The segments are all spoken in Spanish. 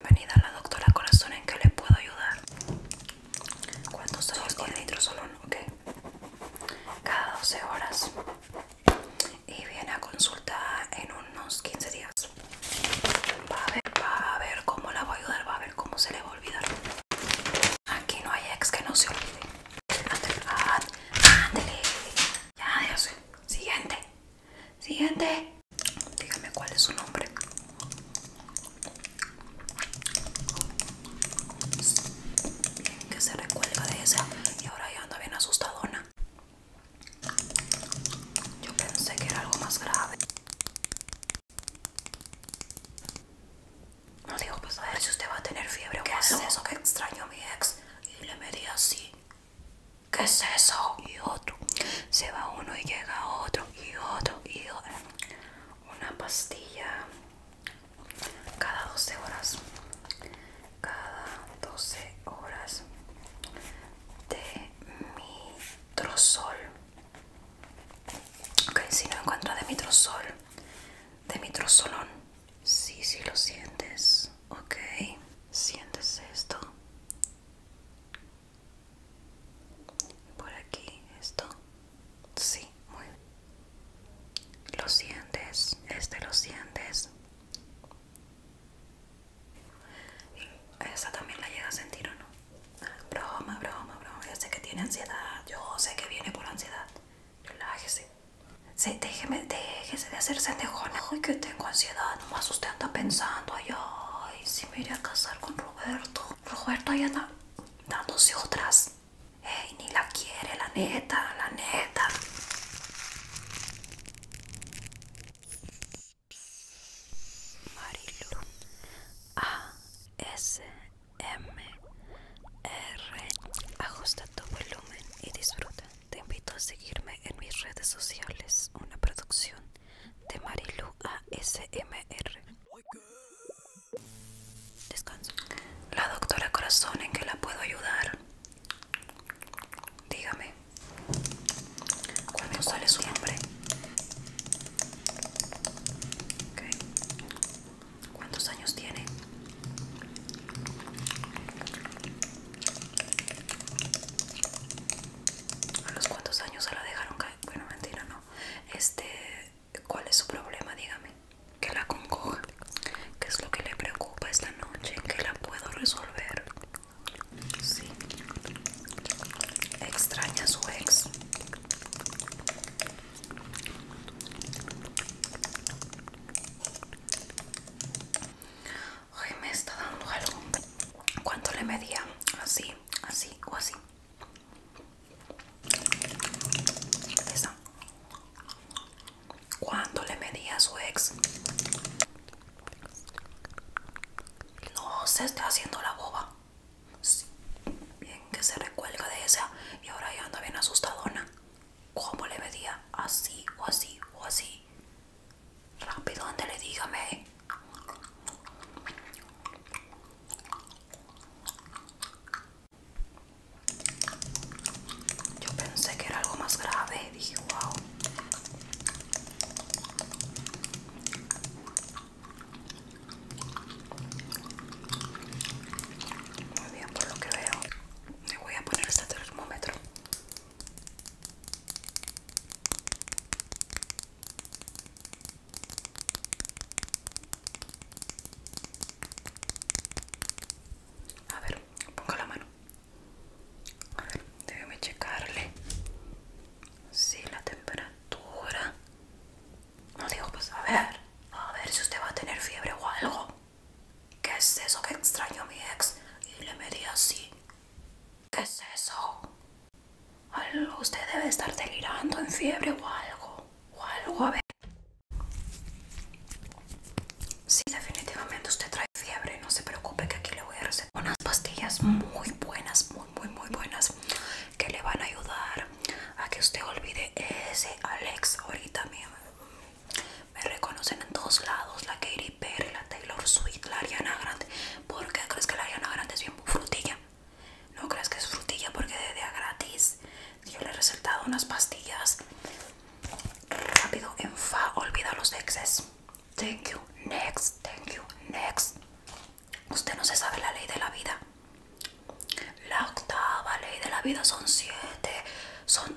Bienvenida a la doctora Corazón, ¿en qué le puedo ayudar? ¿Cuántos años tiene? Nitrosolón, ok. Cada 12 horas. Y viene a consulta en unos 15 días. Va a, ver, va a ver cómo la voy a ayudar, va a ver cómo se le va a olvidar. Aquí no hay ex que no se olvide. Ándale, Ya, Siguiente. Siguiente. Dígame cuál es su nombre. que se recuelga de esa. Y ahora ya anda bien asustadona. Yo pensé que era algo más grave. No digo, pues a ver si usted va a tener fiebre o qué es eso que extraño mi ex. Y le medí así. ¿Qué es eso? Y otro. Se va uno y llega otro. Y otro. Y otro. Una pastilla cada 12 horas. Cada 12 horas de mitrosol. Ok, si no encuentro de mitrosol, de mitrosolón. Sí, sí lo sientes. Ok, sientes esto por aquí esto sí muy bien. sientes. este lo sientes esa también la llega a sentir o no broma broma broma yo sé que tiene ansiedad yo sé que viene por la ansiedad relájese déjeme déjese de hacerse uy que tengo ansiedad Ah, no más usted anda pensando, ay, ay, si me iría a casar con Roberto. Roberto ahí anda dándose otras. Ey, ni la quiere, la neta, la neta. Marilu A S M R Ajusta tu volumen y disfruta. Te invito a seguirme en mis redes sociales. Una producción de Marilu ASMR. La doctora Corazón, ¿en que la puedo ayudar? Dígame. ¿Cuándo sale su nombre? ¿Cuántos años tiene? a los cuantos años se la dejaron caer. Bueno, mentira, no. Este, ¿cuál es su problema? Dígame. Que la concoja. ¿Qué es lo que le preocupa esta noche? Que la puedo resolver. Sí. Extraña a su ex. Ay, me está dando algo. ¿Cuánto le medía? Así, así o así. Esa. ¿Cuánto le medía a su ex? No se está haciendo la boba. Bien que se recuelga de esa y ahora ya anda bien asustadona. ¿Cómo le medía? Así o así o así. Rápido, le dígame. Yo pensé que era algo más grave, dije, wow. Muy bien, por lo que veo, me voy a poner este termómetro a ver, pongo la mano. A ver, déjeme checarle. Sí, la temperatura. No digo, pues a ver. A ver si usted va a tener fiebre o algo. ¿Qué es eso que extraño a mi ex? Y le medí así. ¿Qué es eso? usted debe estar delirando en fiebre o algo. O algo, a ver. Sí, definitivamente usted trae fiebre. No se preocupe que aquí le voy a recetar unas pastillas muy buenas, muy, muy, muy buenas. Que le van a ayudar a que usted olvide ese Alex ahorita mismo. Me reconocen en dos lados, la Katy Perry, la Taylor Swift, la Ariana Grande. ¿Por qué crees que la Ariana Grande es bien frutilla? No crees que es frutilla porque de, día gratis. Yo le he recetado unas pastillas. Rápido, en fa, olvida los exes. Thank you, next, thank you, next. Usted no se sabe la ley de la vida. La octava ley de la vida son siete. Son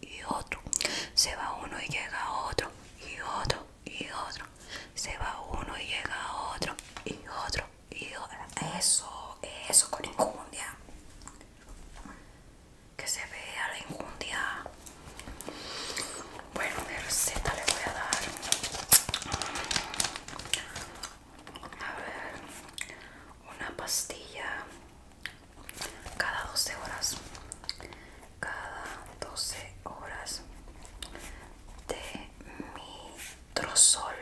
y otro. Se va uno y llega otro y otro y otro. Se va uno y llega otro y otro y otro. Eso, eso con incundia Que se vea la incundia Bueno, la receta le voy a dar. A ver, una pastilla cada 12 horas cada 12 horas de mitrosol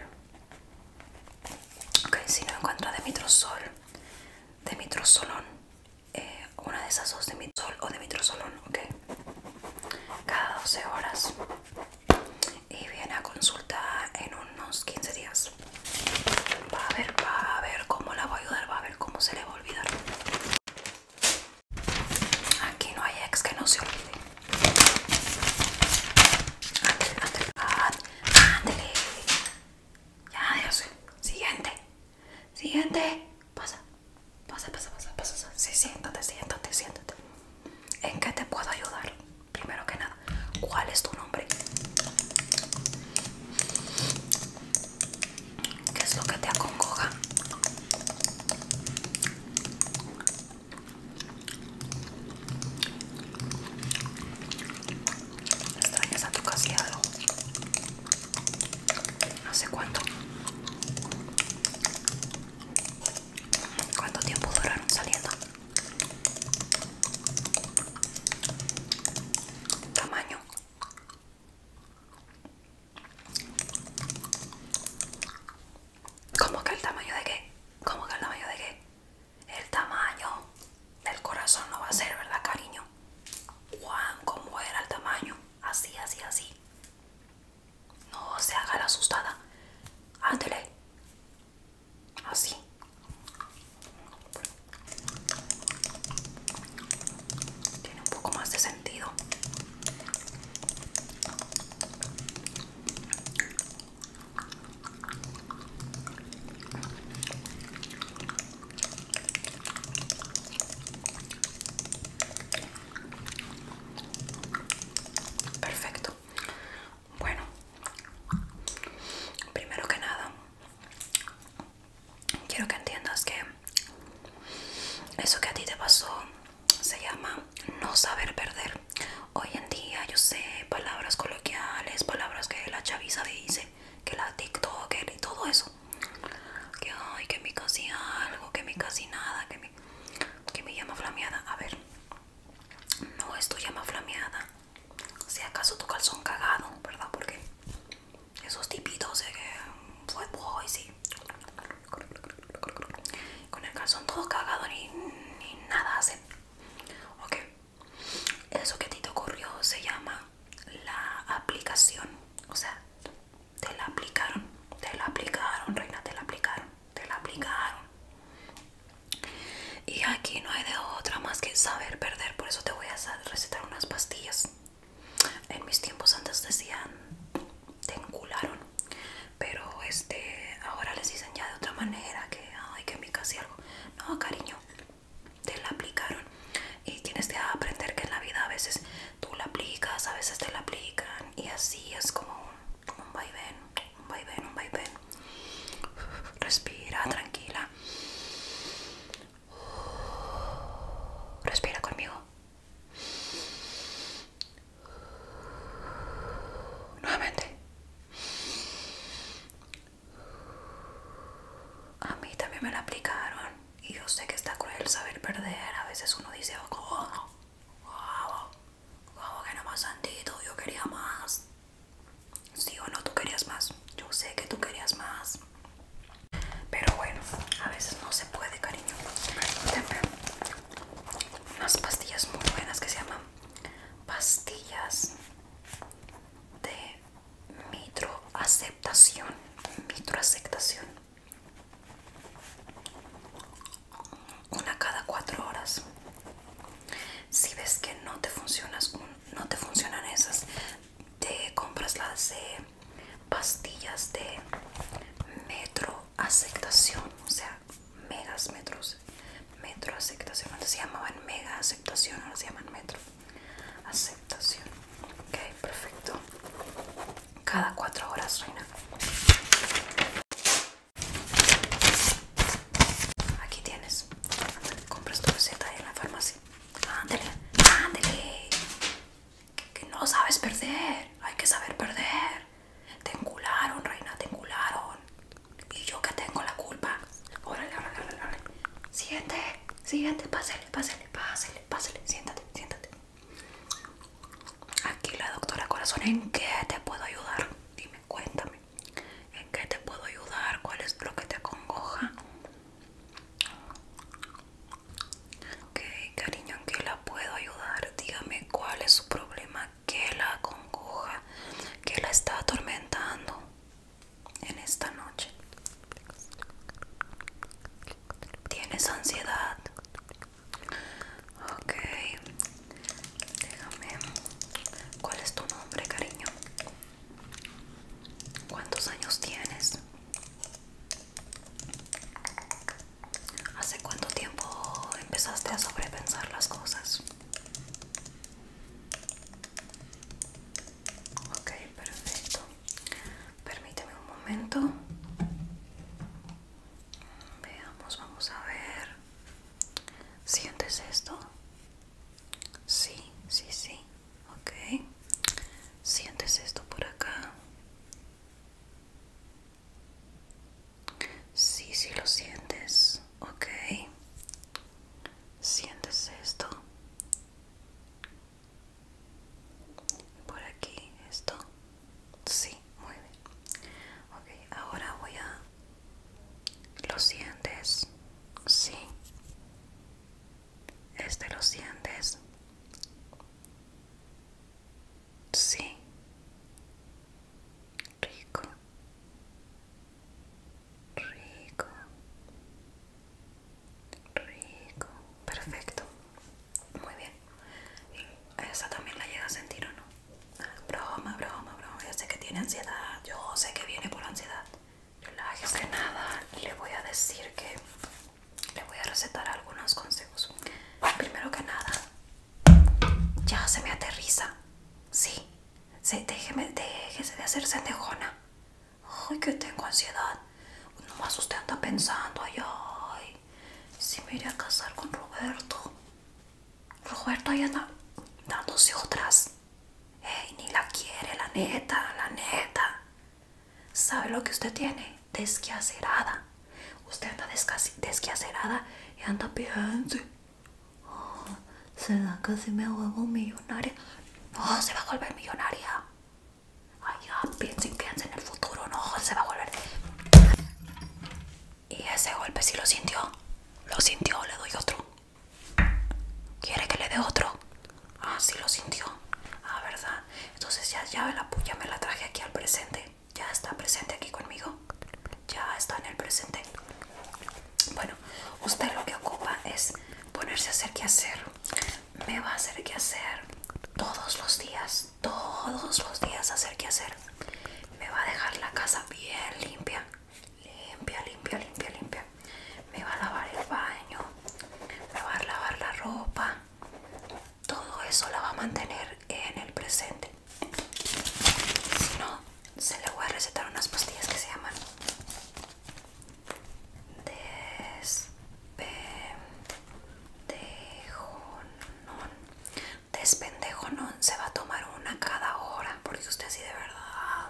ok si no encuentra de mitrosol de eh, una de esas dos de o de ok cada 12 horas y viene a consulta en unos 15 días Va a ver, va a ver cómo la voy a ayudar, va a ver cómo se le va a olvidar. Aquí no hay ex que no se olvide. Ándele, ándele, ándele. Ya, Dios. Siguiente. Siguiente. Pasa, pasa, pasa, pasa, pasa. Sí, siéntate, siéntate, siéntate. ¿En qué te puedo ayudar? Primero que nada, ¿cuál es tu nombre? ¿Qué es lo que te acongoja? Extrañas a tu casillado? No sé cuánto. ¿Cuánto tiempo duraron saliendo? Tamaño ¿Cómo que el tamaño de qué? ¿Cómo que el tamaño de qué? El tamaño del corazón no va a ser, ¿verdad, cariño? Juan, ¿cómo era el tamaño? Así, así, así. No se haga la asustada. Ándale. Así. Tiene un poco más de sentido. Perfecto. Bueno, primero que nada, quiero que entiendas que eso que a ti te pasó se llama no saber perder. Hoy en día yo sé palabras coloquiales, palabras que la chaviza dice, que la TikToker y todo eso. Que ay, que mi casi algo, que me casi nada, que me que mi llama flameada. A ver, no es tu llama flameada si acaso tu calzón cagado, ¿verdad? Porque esos tipitos de que fue boy, sí. Con el calzón todo cagado ni, ni nada hacen. Ok. Eso que a ti te ocurrió se llama la aplicación. O sea, te la aplicaron. Te la aplicaron, reina, te la aplicaron. Te la aplicaron y aquí no hay de otra más que saber perder por eso te voy a recetar unas pastillas en mis tiempos antes decían te encularon pero este ahora les dicen ya de otra manera que ay que me casi algo no cariño te la aplicaron y tienes que aprender que en la vida a veces tú la aplicas a veces te la aplican y así es como un vaivén un vaivén un vaivén respira tranquila respira conmigo nuevamente a mí también me la aplicaron y yo sé que está cruel saber perder a veces uno dice wow, oh, wow, oh, oh, que no más sentido yo quería más si o no, tú querías más. Yo sé que tú querías más. Pero bueno, a veces no se puede, cariño. unas pastillas muy buenas que se llaman pastillas de mitroaceptación. aceptación. Una cada cuatro horas. Si ves que no te funcionas una no te funcionan esas te compras las de pastillas de metro aceptación o sea megas metros metro aceptación antes se llamaban mega aceptación ahora se llaman metro aceptación ok perfecto cada cuatro horas reina Aquí tienes. compras tu receta ahí en la farmacia. Ándale, ándale. Que, no sabes perder. Hay que saber perder. Te encularon, reina, te encularon. Y yo que tengo la culpa. Órale, órale, órale, órale. Siguiente, siguiente. Pásale, pásale, pásale, pásale. Siéntate, siéntate. Aquí la doctora Corazón, ¿en qué te puedo ayudar? Dime, cuéntame. ¿En qué te puedo ayudar? ¿Cuál es lo que te acongoja? Ok, cariño, ¿en qué la puedo ayudar? Dígame cuál es su problema, qué la acongoja, qué la está atormentando en esta noche. ¿Tienes ansiedad? Ok, Déjame. ¿Cuál es tu nombre, cariño? ¿Cuántos años tienes? ¿Hace cuánto tiempo empezaste a sobrepensar las cosas? Ok, perfecto. Permíteme un momento. Veamos, vamos a ver. ¿Sientes esto? Sí, sí, sí. Ok. Sientes esto por acá. Sí, sí lo sientes. Ok. Sientes esto. Por aquí, esto. Sí, muy bien. Ok, ahora voy a ¿Lo sientes? sí. ¿Este lo sientes? Sí. Rico. Rico. Rico. Perfecto. Muy bien. esa también la llega a sentir o no? Broma, broma, broma. Yo sé que tiene ansiedad. Yo sé que viene por ansiedad. Relájese nada. Le voy a decir que le voy a recetar algunos consejos. Primero que nada, ya se me aterriza. Sí, se, déjeme, déjese de hacer sendejona. Ay, que tengo ansiedad. Nomás usted anda pensando, ay, ay. Si me iría a casar con Roberto. Roberto ahí está dándose otras. Ey, ni la quiere, la neta, la neta. ¿Sabe lo que usted tiene? Desquiacerada. Usted anda desquiacerada y anda piensa oh, se ¿Será que si me vuelvo millonaria? No, se va a volver millonaria. Ay, ya, piensen, piensa en el futuro. No, se va a volver. Y ese golpe si lo sintió. Lo sintió, le doy otro. ¿Quiere que le dé otro? Ah, sí lo sintió. Ah, ¿verdad? Entonces ya, ya, la, puya me la traje aquí al presente. Ya está presente aquí conmigo. Ya está en el presente. Bueno, usted lo que ocupa es ponerse a hacer que hacer. Me va a hacer que hacer todos los días. Todos los días hacer que hacer. Me va a dejar la casa bien limpia limpia, limpia, limpia, limpia. Me va a lavar el baño, me va a lavar la ropa. Todo eso la va a mantener en el presente. Si no, se le voy a recetar unas pastillas que se llaman no Despendejo este no se va a tomar una cada hora porque usted sí de verdad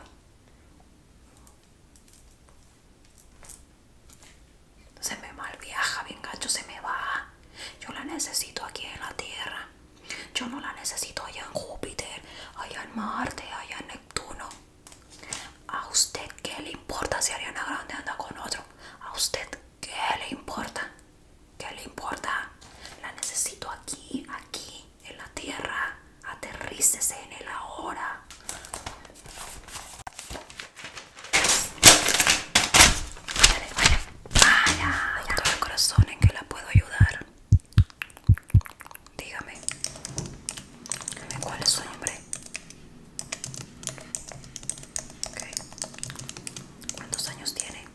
se me mal viaja, bien gacho, se me va. Yo la necesito aquí en la Tierra. Yo no la necesito allá en Júpiter, allá en Marte, allá en Neptuno. ¿A usted que le importa si Ariana Grande anda con otro? ¿A usted qué le importa? ¿Qué le importa? La necesito aquí, aquí, en la tierra. Aterrícese en el ahora. Vale, vaya, corazón, ¿en que la puedo ayudar? Dígame. Dígame cuál es su nombre. ¿Cuántos años tiene?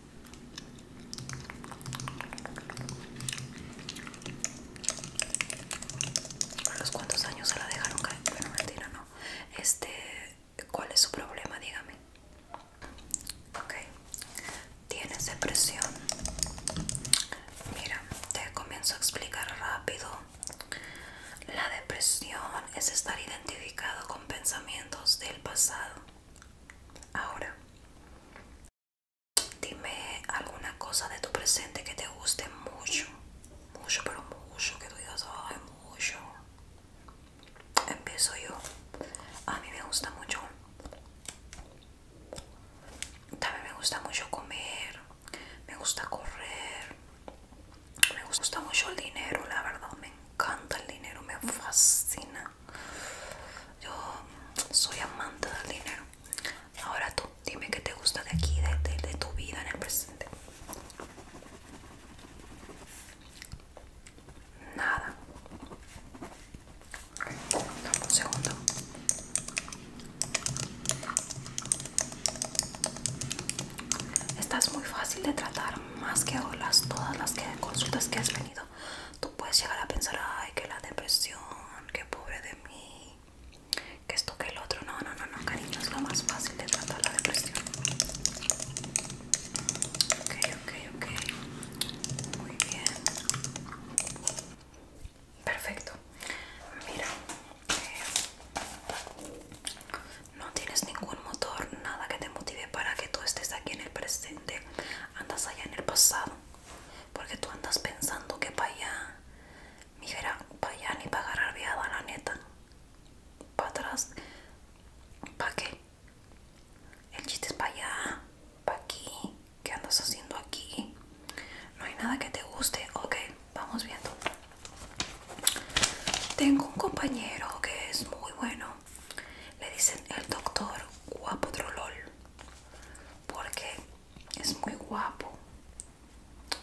los cuántos años se la dejaron caer? Bueno, mentira, no. Este, ¿cuál es su problema? Dígame. Ok. ¿Tienes depresión? Mira, te comienzo a explicar rápido. La depresión es estar identificado con pensamientos del pasado Ahora, dime alguna cosa de tu presente que te guste mucho. Mucho, pero mucho, que tú digas, ay, mucho. Empiezo yo. A mí me gusta mucho. También me gusta mucho comer. Me gusta correr. Me gusta mucho el dinero, la verdad. Me encanta el dinero, me fascina. Yo soy amante del dinero. Ahora tú, dime qué te gusta de aquí, de, tu vida en el presente. Nada. un segundo. Estás muy fácil de tratar más que olas, todas las consultas que has venido, tú puedes llegar a pensar, ay, que la depresión, que pobre de mí, que esto, que el otro. No, no, no, no, cariño, es lo más fácil de tratar la depresión. Ok, ok, ok. Muy bien. Perfecto. Mira. Eh, no tienes ningún motor, nada que te motive para que tú estés aquí en el presente, andas allá en el pasado, porque tú andas pensando que para allá, mijera, para allá ni para agarrar viada, la neta, para atrás, ¿para qué? El chiste es para allá, para aquí, ¿qué andas haciendo aquí? No hay nada que te guste, ok, vamos viendo. Tengo un compañero que es muy bueno le dicen el doctor guapo trolol porque es muy guapo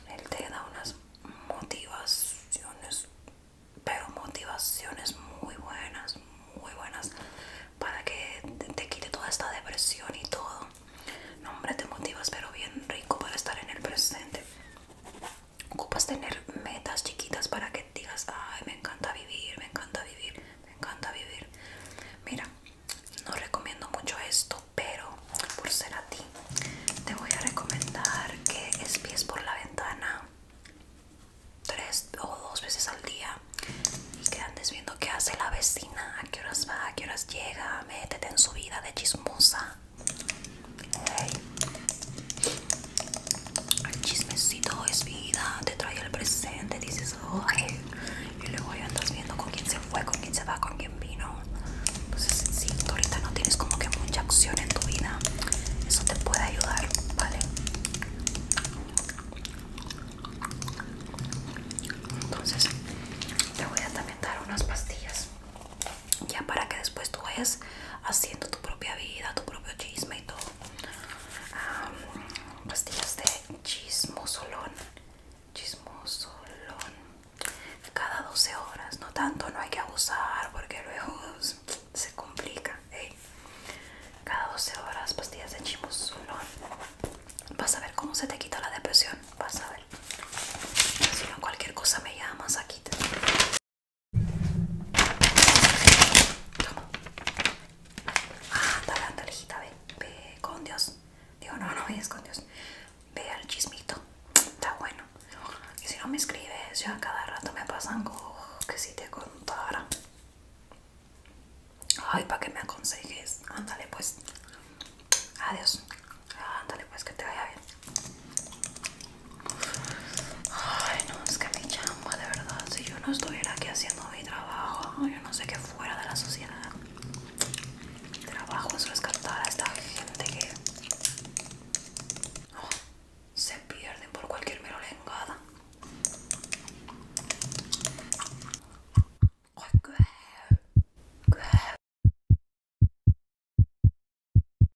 él te da unas motivaciones pero motivaciones muy buenas muy buenas para que te, quite toda esta depresión y todo no hombre te motivas pero bien rico para estar en el presente ocupas tener metas chiquitas para que digas, ay, me encanta vivir, me encanta vivir, me encanta vivir. Mira, no recomiendo mucho esto, pero por ser a ti, te voy a recomendar que espies por la ventana tres o dos veces al día y que andes viendo qué hace la vecina, a qué horas va, a qué horas llega, métete en su vida de chismosa. El chismecito es vida, te trae el presente, dices, ay, y luego ya andas viendo con quién se fue, con quién se va, con quién vino. Entonces, si tú ahorita no tienes como que mucha acción en tu vida, eso te puede ayudar, ¿vale? Entonces, te voy a también dar unas pastillas ya para que después tú vayas haciendo tu propia vida, tu propio chisme y todo. pastillas de chismosolón, chismosolón, cada 12 horas, no tanto, no hay que abusar porque luego se complica. Cada 12 horas, pastillas de chismosolón, vas a ver cómo se te quita la depresión, vas a ver. Si no, cualquier cosa me llamas aquí. Ah, está hijita, ve, ve con Dios. Digo, no, no vayas con Dios. Ve al chismito. Está bueno. Y si no me escribes, yo a cada rato me pasan que si te contara. Ay, para que me aconsejes. Ándale, pues. Adiós. Ándale, pues, que te vaya bien. Ay, no, es que mi chamba, de verdad, si yo no estuviera aquí haciendo mi trabajo, yo no sé qué fuera de la sociedad. Mi trabajo es rescatar a esta gente que oh, se pierden por cualquier mero lengada.